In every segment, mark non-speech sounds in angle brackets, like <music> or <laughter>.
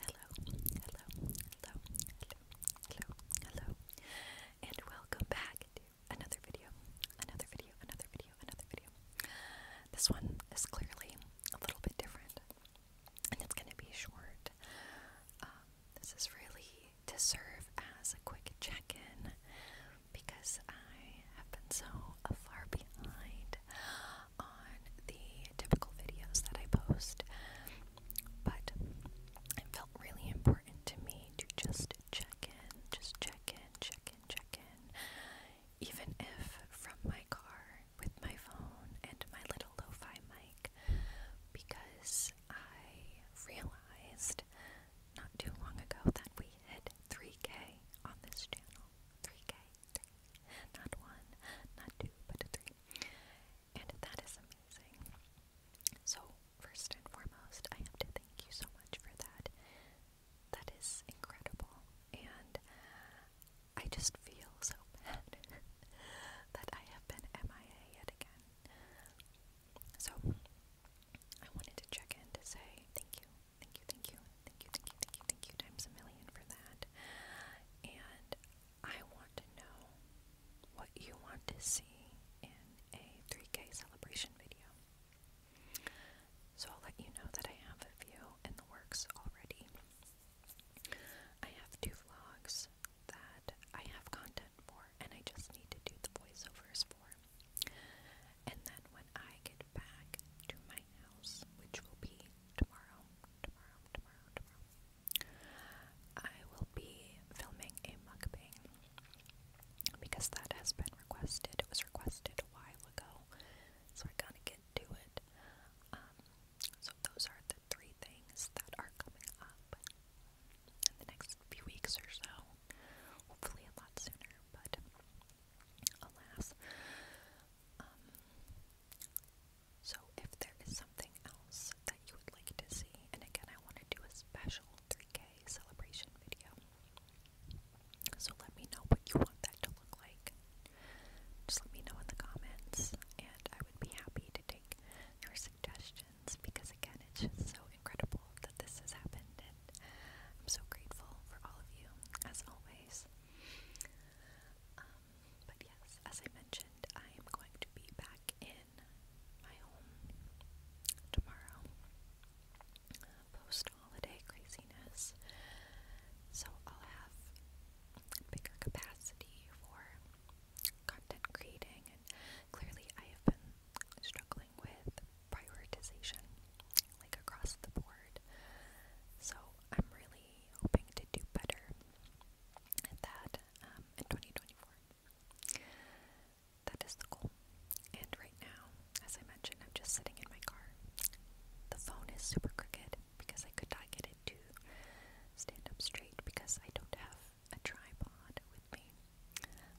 Hello, hello, hello, hello, hello, hello, and welcome back to another video, another video, another video, another video. This one is clearly a little bit different, and it's going to be short. Um, this is really to serve as a quick check in because I have been so far behind on the typical videos that I post, but it felt really important to me to just check in, just check in, check in, check in, even if from my car with my phone and my little lo fi mic, because I realized not too long ago that we hit 3K on this channel. 3K. Not one, not two, but three. And that is amazing. So, first and foremost, I have to thank you so much for that. That is incredible. And I just feel so <laughs> bad that I have been MIA yet again. So, I wanted to check in to say thank you. Thank you, thank you, thank you, thank you, thank you, thank you, times a million for that. And I want to know what you want to see in a 3K celebration video. So I'll let you know that I have a few in the works already. I have two vlogs that I have content for and I just need to do the voiceovers for. And then when I get back to my house, which will be tomorrow, tomorrow, tomorrow, tomorrow, I will be filming a mukbang because that has been requested. It was requested a while ago, so I gotta get to it. Um, so those are the three things that are coming up in the next few weeks or so. Hopefully a lot sooner, but alas. Um, so if there is something else that you would like to see, and again, I want to do a special 3K celebration video. So let me know what you want that to look like. Just let me know in the comments, and I would be happy to take your suggestions because, again, it's just so incredible that this has happened, and I'm so grateful for all of you, as always. Um, but yes, as I mentioned, I am going to be back in my home tomorrow post holiday craziness, so I'll have bigger capacity for content creating, and clearly I have been struggling with prioritization, like across the board. So I'm really hoping to do better at that um, in 2024. That is the goal. And right now, as I mentioned, I'm just sitting in my car. The phone is super crooked, because I could not get it to stand up straight because I don't have a tripod with me.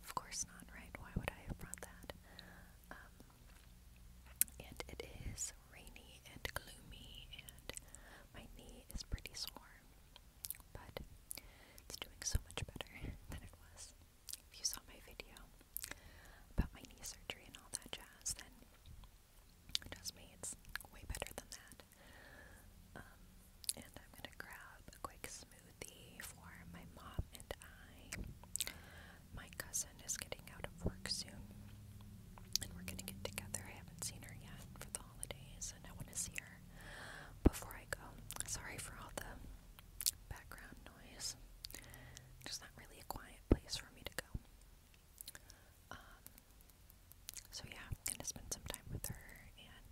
Of course not, right? Why would I have brought that? Um, and it is rainy and gloomy, and my knee is pretty sore, but it's doing so much better <laughs> than it was. If you saw my video about my knee surgery and all that jazz, then Trust me, it's way better than that. Um, and I'm gonna grab a quick smoothie for my mom and I. My cousin is getting out of work soon, and we're gonna get together. I haven't seen her yet for the holidays, and I want to see her before I go. Sorry for all the background noise. There's not really a quiet place for me to go. Um, so, yeah, I'm gonna spend some time with her and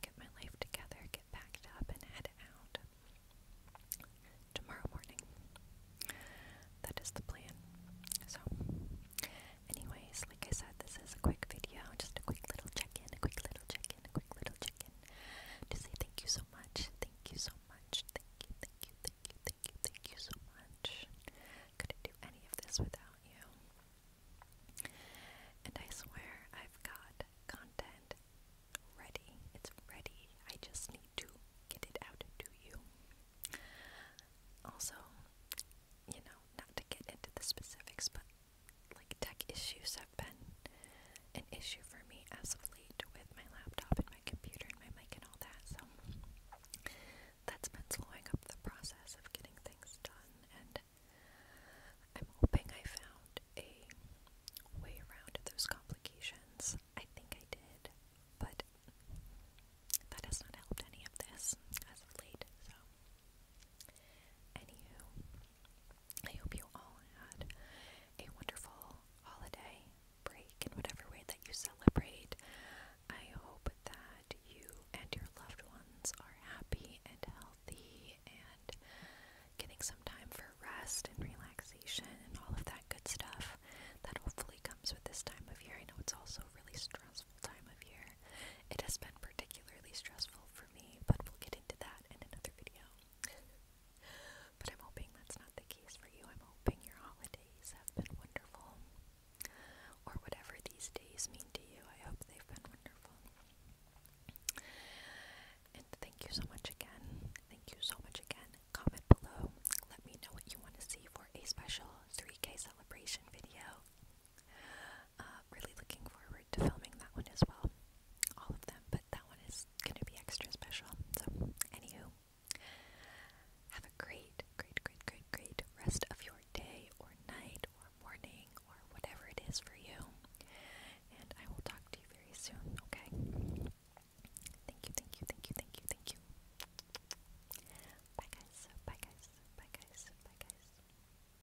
get my life together, get packed up, and head out tomorrow morning. That is the plan. So, anyways, like I said, this is a quick video, just a quick little check in, a quick little check in, a quick little check in to say thank you so much. Thank you so much. Thank you, thank you, thank you, thank you, so much. Couldn't do any of this without you. And I swear I've got content ready. It's ready. I just need to get it out to you. Also, you know, not to get into the specifics, but like tech issues have been an issue for me as of late with my laptop my computer and my mic and all that. So that's been slowing up the process of getting things done, and I'm hoping I found a way around those complications. I think I did, but that has not helped any of this as of late. So, anywho, I hope you all had a wonderful holiday break in whatever way that you celebrate. I hope that you and your loved ones are happy and healthy and getting some time for rest and relaxation and all of that good stuff that hopefully comes with this time of year. I know it's also a really stressful time of year. It has been particularly stressful for me, but we'll get into that in another video but I'm hoping that's not the case for you. I'm hoping your holidays have been wonderful, or whatever these days mean to you. I hope they've been wonderful. And thank you so much again. Thank you so much again. Comment below. Let me know what you want to see for a special 3K celebration video. Uh, really looking forward to filming that one as well. All of them, but that one is going to be extra special. So, anywho, have a great, great, great, great, great rest of your day or night or morning or whatever it is for you. And I will talk to you very soon, okay? Thank you, thank you, thank you, thank you, thank you. Bye, guys. Bye, guys. Bye, guys. Bye, guys.